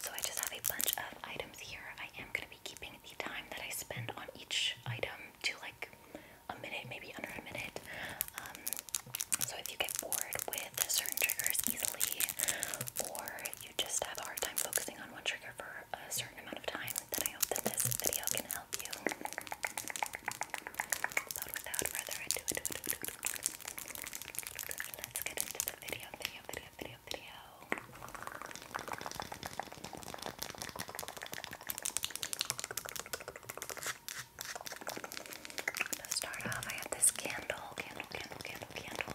So I just have a bunch of items here. I am going to be keeping the time that I spend on each item to like a minute, maybe under a minute. Um, so if you get bored with certain triggers easily, or you just have a hard time focusing on one trigger for a certain amount of time, then I hope that this video can help you. Let's get into the video, video, video, video, video. To start off, I have this candle, candle, candle, candle, candle.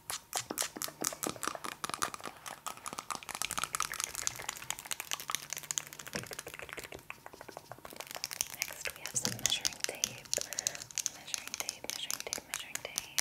Next, we have some measuring tape. Measuring tape, measuring tape, measuring tape.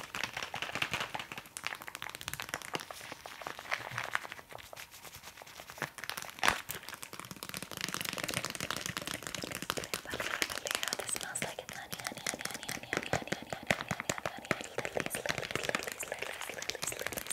This smells like honey, honey, honey, honey, honey, honey, honey, honey, honey, honey, honey, honey, lilies, lilies, lilies, lilies, lilies, lilies, lilies.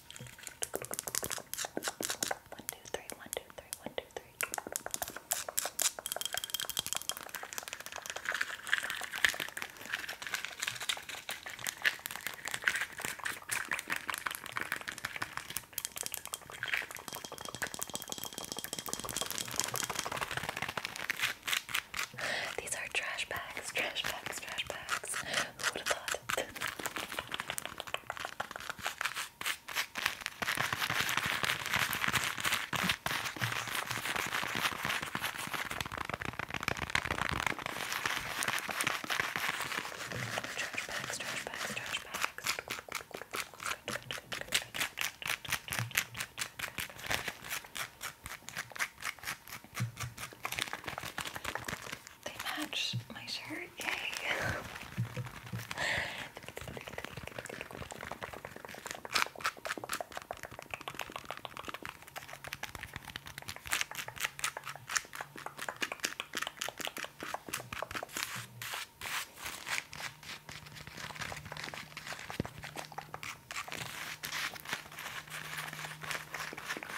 One, two, three, one, two, three, one, two, three. These are trash bags, trash bags, trash bags. Who would have thought? Trash bags, trash bags, trash bags. They match my shirt. Yay!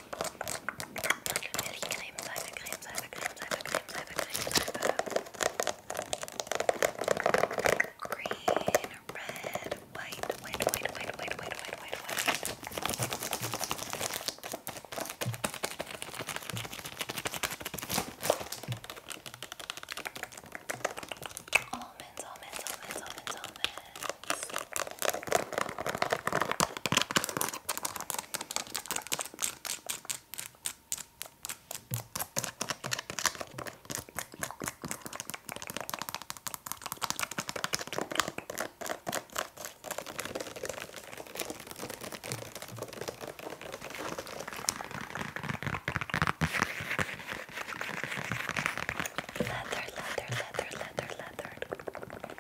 Creme, Seife, Creme, Seife, Creme, Seife, Creme, Seife, Creme, Seife. Green, red, white, white, white, white, white, white, white, white, white. Almonds, almonds, almonds, almonds, almonds. Leather, leather, leather, leather, leather.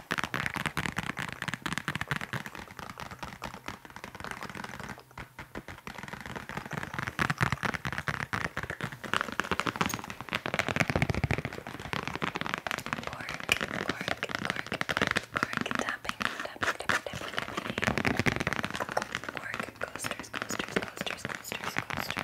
tapping, tapping, tapping, tapping. Cork, coasters, coasters, coasters, coasters, coasters.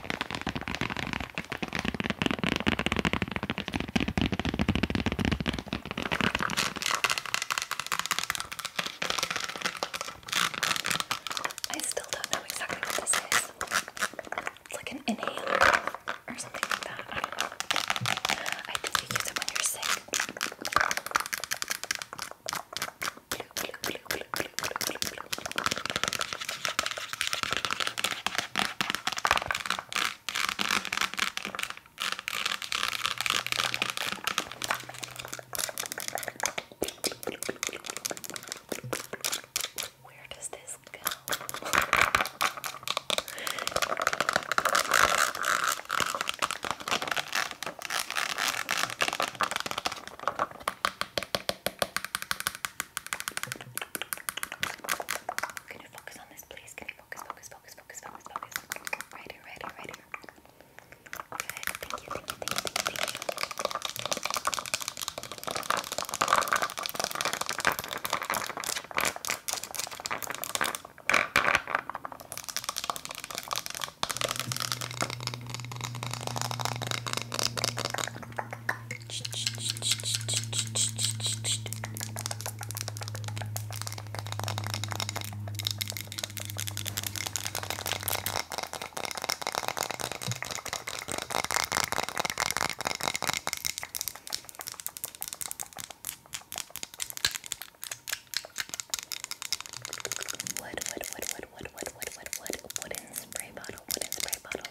I still don't know exactly what this is. It's like an inhaler or something like that. I don't know. I think you use it when you're sick. Blue, blue, blue, blue, blue, blue, blue, blue. Where does this go? Can you focus on this, please? Can you focus, focus, focus, focus, focus, focus? Right here, right here, right here. Good. Thank you, thank you, thank you, thank you, thank you. Okay, Wood, wood, wood, wood, wood, wood, wood, wood, wood, wooden spray bottle, wooden spray bottle.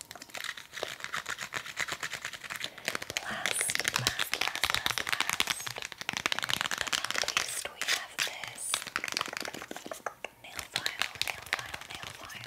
Last, last, last, last, last, but not least, we have this nail file, nail file, nail file.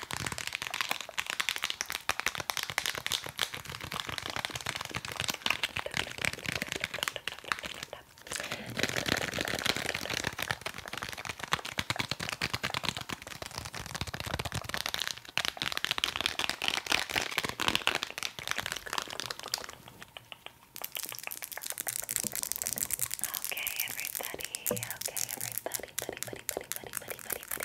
Okay, everybody. Okay, everybody. Buddy, buddy, buddy, buddy, buddy, buddy,